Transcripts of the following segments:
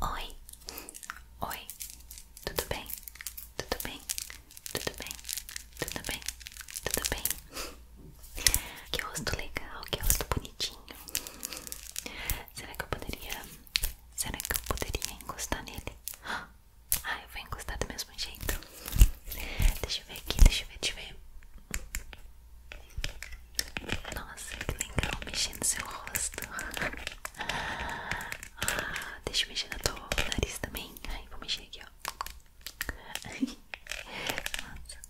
Oi, oi, tudo bem? Tudo bem? Tudo bem? Tudo bem? Tudo bem? Que rosto legal, que rosto bonitinho. Será que eu poderia. Será que eu poderia encostar nele? Ah, eu vou encostar do mesmo jeito. Deixa eu ver aqui, deixa eu ver, deixa eu ver. Nossa, que legal mexer no seu rosto. Ah, deixa eu mexer na tua nariz também. Ai, vou mexer aqui, ó. Ai, nossa.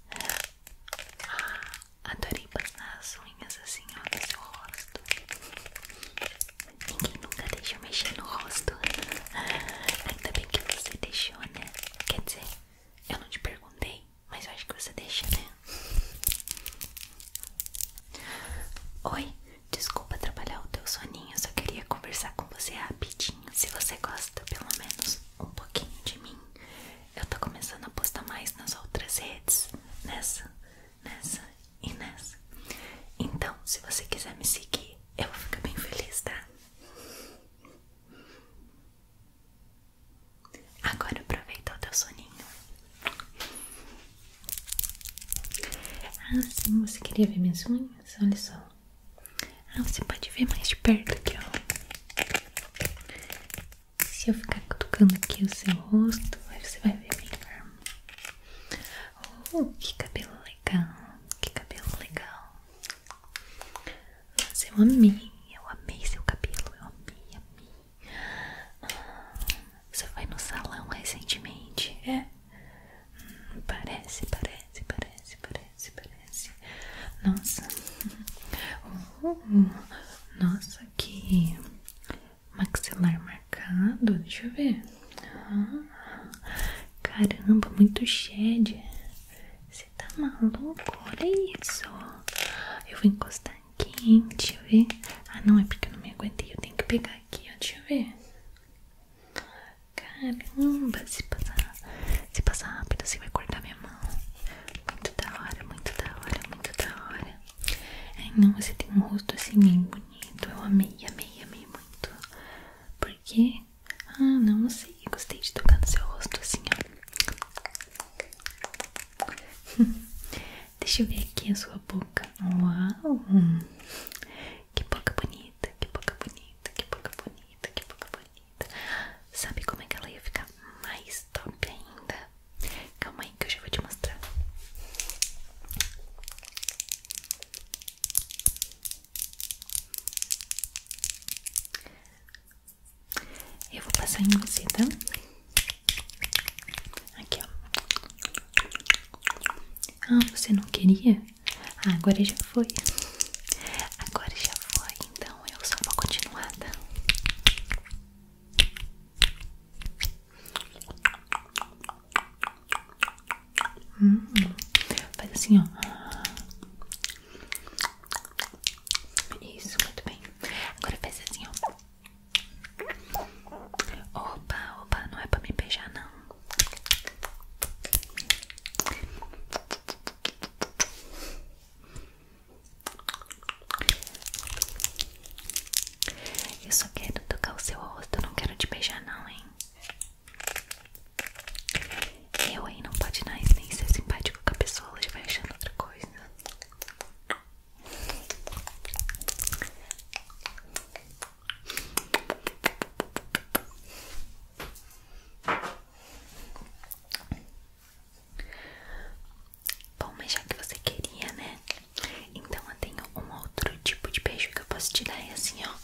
Ah, adorei passar as unhas assim, ó, no seu rosto. Ninguém nunca deixa eu mexer no rosto. Ainda bem que você deixou, né? Quer dizer. Eu não te perguntei, mas eu acho que você deixa, né? Oi, desculpa trabalhar o teu soninho, eu só queria conversar com você rapidinho. Se você gosta, pelo menos um pouquinho de mim, eu tô começando a postar mais nas outras redes, nessa, nessa e nessa. Então, se você quiser me seguir, eu vou ficar bem feliz, tá? Agora aproveita o teu soninho. Ah, sim, você queria ver minhas unhas? Olha só. Ah, você pode ver mais de perto aqui, ó. Se eu ficar tocando aqui o seu rosto, você vai ver melhor. Oh, que cabelo legal. Que cabelo legal. Nossa, eu amei, eu amei seu cabelo, eu amei, amei. você foi no salão recentemente, é? parece, parece, parece, parece, parece. Nossa, nossa, que maxilar marcado, deixa eu ver. caramba, muito shed. Você tá maluco? Olha isso. Eu vou encostar aqui, Deixa eu ver. Ah, não, é porque eu não me aguentei. Eu tenho que pegar aqui, ó. Deixa eu ver. Caramba, se passar, se passar rápido, você vai cortar minha mão. Muito da hora, muito da hora, muito da hora. Ai, não, você tem um rosto assim bem bonito. Eu amei, amei, amei muito. Porque ah, não sei. Gostei de tocar no seu rosto assim, ó. Deixa eu ver aqui a sua boca. Uau! Que boca bonita, que boca bonita, que boca bonita, que boca bonita. Sabe como é que ela ia ficar mais top ainda? Calma aí que eu já vou te mostrar. Eu vou passar em você, tá? Aqui, Ah, você não queria? Ah, agora já foi. Agora já foi, então eu só vou continuar, tá? Hum. faz assim, ó. Isso, muito bem. Agora faz assim, ó. Opa, opa, não é pra me beijar, não. Eu só quero tocar o seu rosto, eu não quero te beijar, não, hein? Eu, aí não pode nem, nem ser simpático com a pessoa, ela já vai achando outra coisa. Bom, mas já que você queria, né? Então eu tenho um outro tipo de beijo que eu posso te dar, é assim, ó.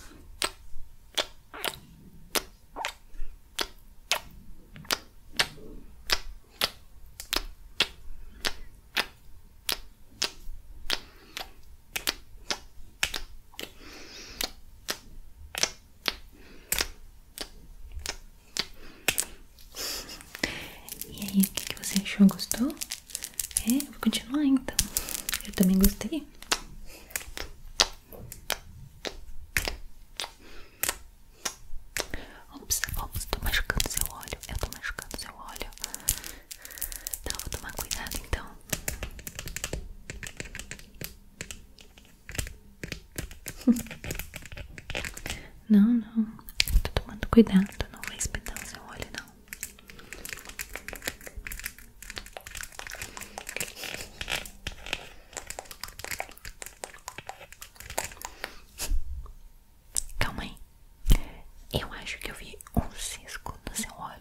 E aí, o que, você achou? Gostou? É, vou continuar então. Eu também gostei. Ops, ops, tô machucando seu olho. Eu tô machucando seu olho. Então, vou tomar cuidado então. Não, não. Tô tomando cuidado. Não vai espetar o seu olho, não. Calma aí. Eu acho que eu vi um cisco no seu olho.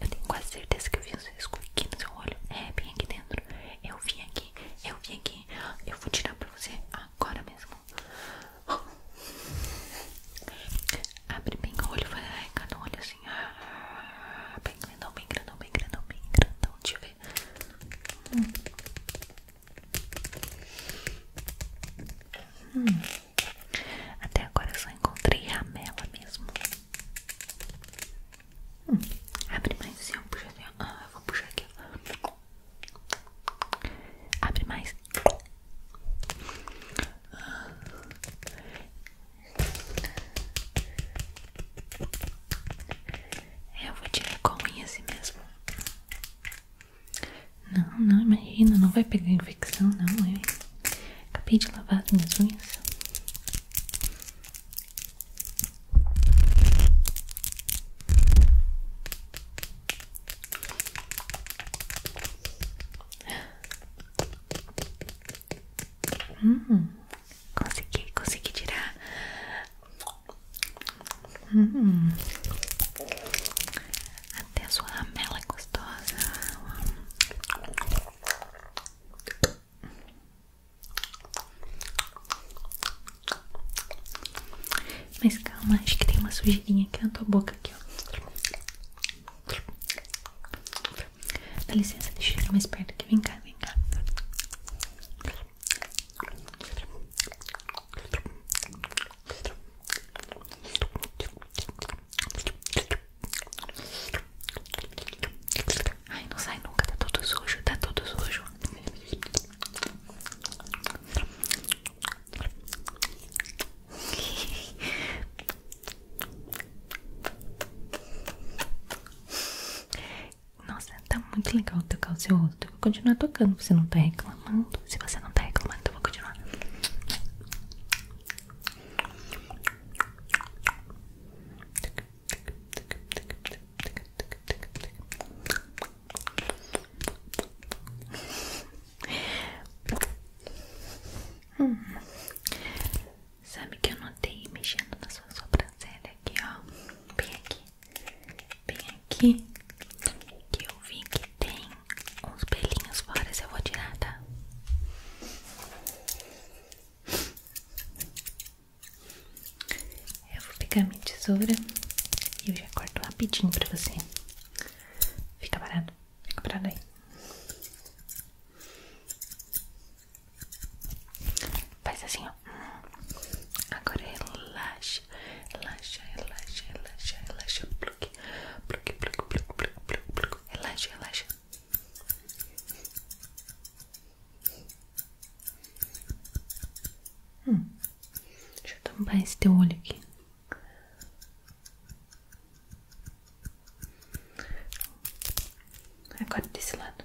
Eu tenho quase certeza que eu vi um cisco aqui no seu olho. É, bem aqui dentro. Eu vi aqui, eu vi aqui. Eu vou tirar pra você agora mesmo. Abre bem o olho, vai arrancar no olho assim assim, ah, bem grandão, bem grandão, bem grandão, bem Deixa eu ver. Hum. Até agora eu só encontrei a ramela mesmo. Hum. Abre mais assim, ó. Assim, ah, eu vou puxar aqui, ó. Abre mais. Ah. Eu vou tirar com unha assim mesmo. Não, não, imagina, não vai pegar infecção, não. Eu acabei de lavar as minhas unhas. Hum, consegui, consegui tirar. Hum. Até a sua ramela é gostosa. Mas calma, acho que tem uma sujeirinha aqui na tua boca aqui, dentro. Dá licença, deixa eu chegar mais perto aqui. Vem cá, vem cá. Ai, não sai nunca, tá todo sujo, tá todo sujo. Nossa, tá muito legal tocar o seu rosto. vou continuar tocando. Você não tá reclamando? Se você não tá reclamando, vou continuar. Sabe que eu notei mexendo na sua sobrancelha aqui, ó. Bem aqui. Bem aqui. Que eu vi que tem uns pelinhos fora. Se eu vou tirar, tá? Eu vou pegar minha tesoura e eu já corto rapidinho pra você. Fica parado Fica pra daí. Faz assim, ó. Agora relaxa, relaxa, relaxa, relaxa, relaxa. Pluque, pluque, pluque, pluque, pluque, pluque, pluque. Relaxa, relaxa. Hum. Deixa eu tampar esse teu olho aqui. Agora desse lado.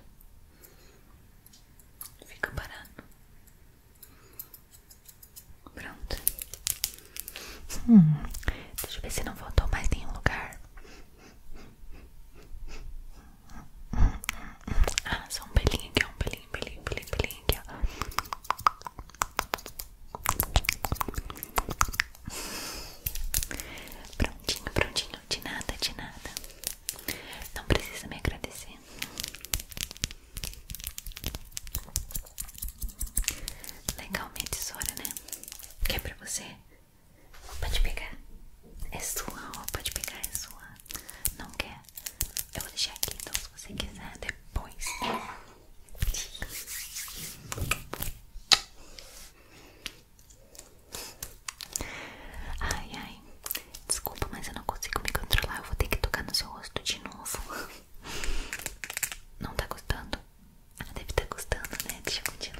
Fica parado. Pronto. Hum. deixa eu ver se não voltou mais nenhum lugar. Ah, só um pelinho aqui, um pelinho, pelinho, pelinho, pelinho aqui, ó. Prontinho, prontinho, de nada, de nada. Não precisa me agradecer. Legal minha tesoura, né? Quer é pra você? Pode pegar. É sua, ó. Pode pegar, é sua. Não quer? Eu vou deixar aqui, então, se você quiser, depois. Ai, ai, desculpa, mas eu não consigo me controlar. Eu vou ter que tocar no seu rosto de novo. Não tá gostando? Ela ah, deve estar tá gostando, né? Deixa eu continuar.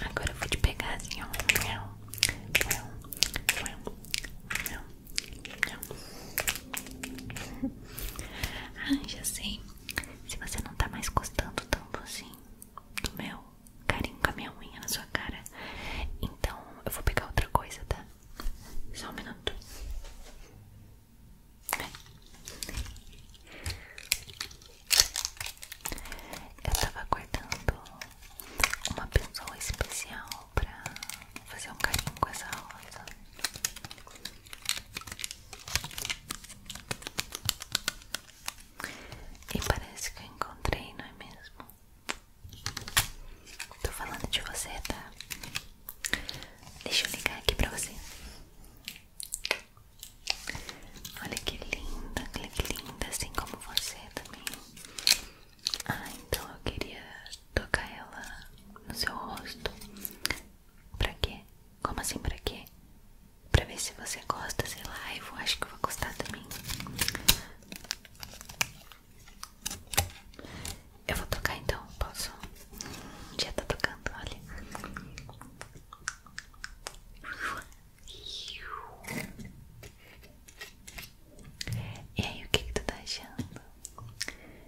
Agora eu vou te pegar assim, ó. Ah, já sei. Se você não tá mais gostando tanto assim do meu carinho com a minha unha na sua cara, então eu vou pegar outra coisa, tá? Só um minuto. É. Eu tava aguardando uma pessoa especial pra fazer um carinho com essa rosa. E parece que eu encontrei, não é mesmo? Tô falando de você, tá? Deixa eu ligar aqui pra você. Olha que linda, que linda, assim como você também. Ah, então eu queria tocar ela no seu rosto. Pra quê? Como assim pra quê? Pra ver se você gosta, sei lá, eu acho que eu vou gostar também. Eu vou tocar então, posso? Já tá tocando, olha. E aí, o que que tu tá achando?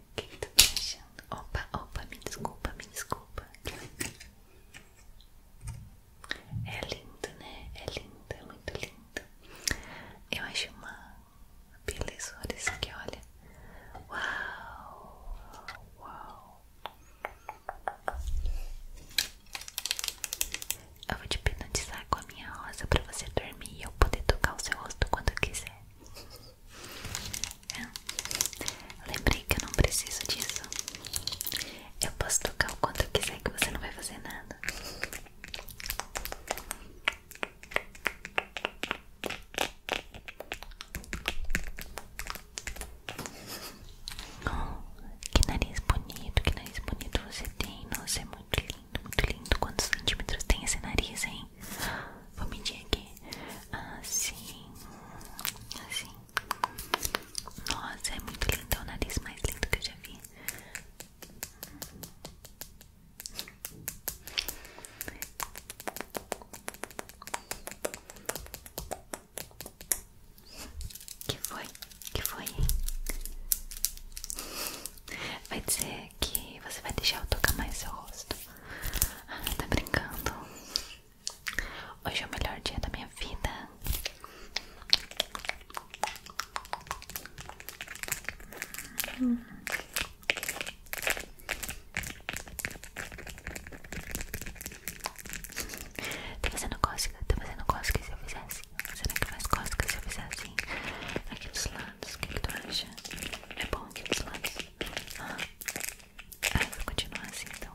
O que que tu tá achando? Opa, opa, me desculpa, me desculpa É lindo, né? É lindo, é muito lindo Eu acho uma belezura isso aqui, olha Uau, uau eu vou te hipnotizar com a minha rosa pra você dormir e eu poder tocar o seu rosto quando quiser. É. Lembrei que eu não preciso disso. Eu posso tocar o quanto eu quiser que você não vai fazer nada. Oh, que nariz bonito, que nariz bonito você tem. Nossa, é muito lindo, muito lindo. Quantos centímetros tem esse nariz, hein? Vou medir aqui. Assim, assim. Nossa, é muito lindo. É o nariz mais lindo que eu já vi. Que foi? Que foi? Vai dizer que você vai deixar eu tocar mais seu rosto. Ah, tá brincando. Hoje é o melhor dia da minha vida. Hum. Tá fazendo cósmica? Tá fazendo cósmica se eu fizer assim? Será que faz é cósmica se eu fizesse assim? Aqui dos lados, o que, tu acha? É bom aqui dos lados? Ah, ah vou continuar assim então.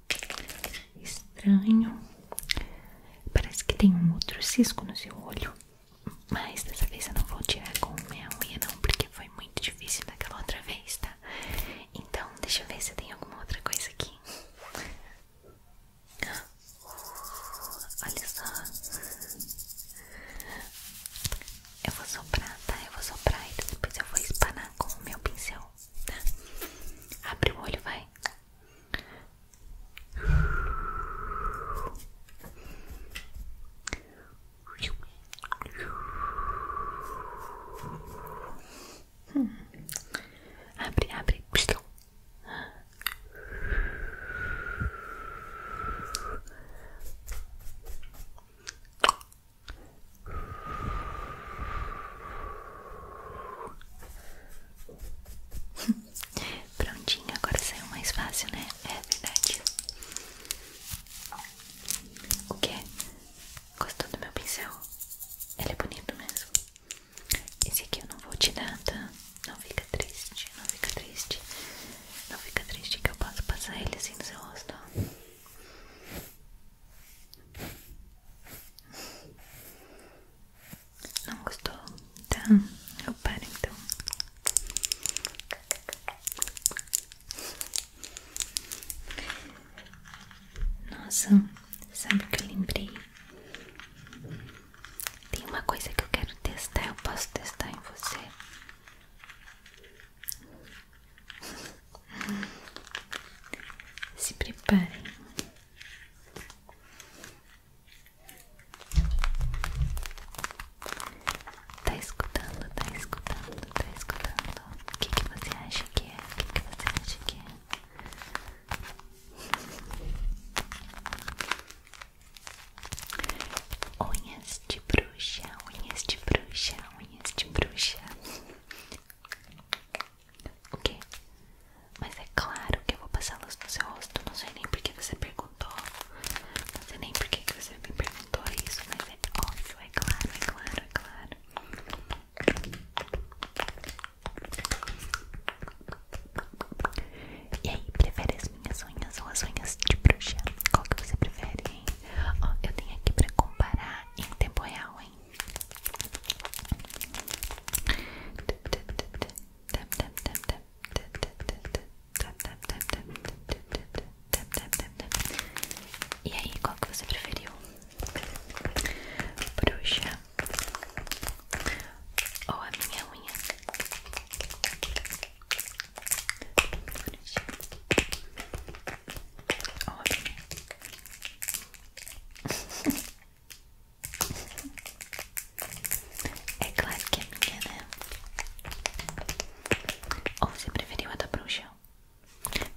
Estranho. Parece que tem um outro cisco no seu olho. Mas dessa vez eu não vou tirar com meu, unha, não, porque foi muito difícil daquela outra vez, tá? Então, deixa eu ver se tem alguma outra coisa aqui. Olha só. Eu vou soprar, tá? Eu vou soprar e depois eu vou espanar com o meu pincel Abre o olho, vai. Hum. Abre, abre. Prontinho, agora saiu mais fácil, né? É verdade. O que? Gostou do meu pincel? Ele é bonito mesmo. Esse aqui eu não vou te dar, tá? Não fica triste, não fica triste. Não fica triste que eu possa passar ele assim no seu rosto. Ó. Não gostou? então eu paro então. Nossa, sabe o que eu lembrei? Tem uma coisa que eu quero testar, eu posso testar em você. Se preparem. Tá escutando, tá escutando, tá escutando. O que, que você acha que é? O que, que você acha que é? Unhas de bruxa, unhas de bruxa, unhas de bruxa. O quê? Mas é claro que eu vou passá luz no seu rosto. Não sei nem porque você perguntou. Não sei nem porque que você me perguntou isso. Mas é óbvio, é claro, é claro, é claro. E aí, prefere as minhas unhas ou as unhas de bruxa? Qual que você prefere? Ó, eu tenho aqui pra comparar em tempo real, hein? E aí, qual que você preferiu? Bruxa ou a minha unha? Bruxa. Ótimo. É claro que é minha, né? Ou você preferiu a da bruxa?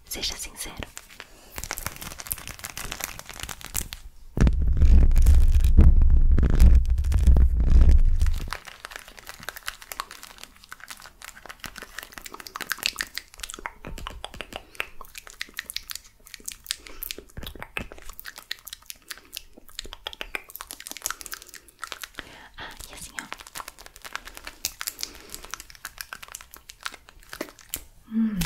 Seja sincero. Ah, assim, hum,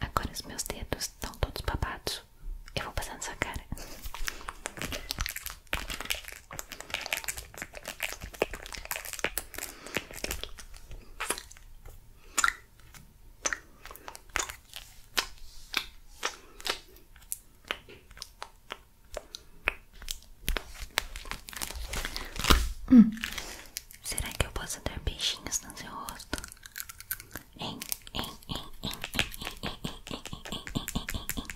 agora os meus dedos estão todos babados. Eu vou passar nessa cara. Hum, será que eu posso dar beijinhos no seu rosto? Hein, hein, hein, hein, hein, hein, hein, hein, hein, hein, hein, hein, hein, hein,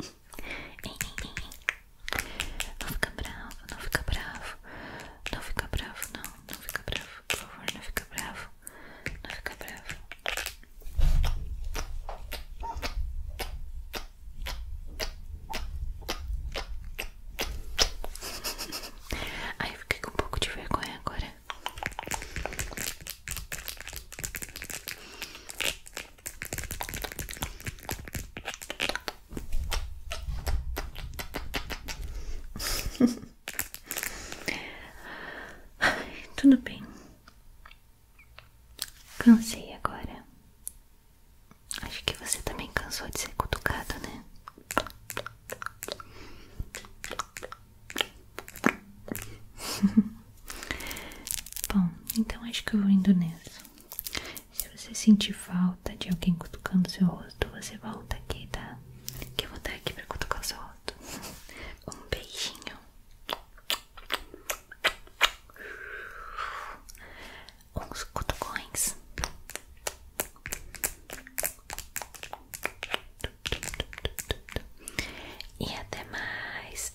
hein. Não fica bravo, não fica bravo. Não fica bravo, não. Não fica bravo, por favor, não fica bravo. Não fica bravo. Aí eu fiquei com um pouco de vergonha agora. tudo bem, cansei agora. Acho que você também cansou de ser cutucado, né? Bom, então acho que eu vou indo nessa. Se você sentir falta de alguém cutucando seu rosto, você volta aqui, tá? Que eu vou estar aqui pra cutucar o seu rosto. Um beijinho. Uns cutucões. E até mais.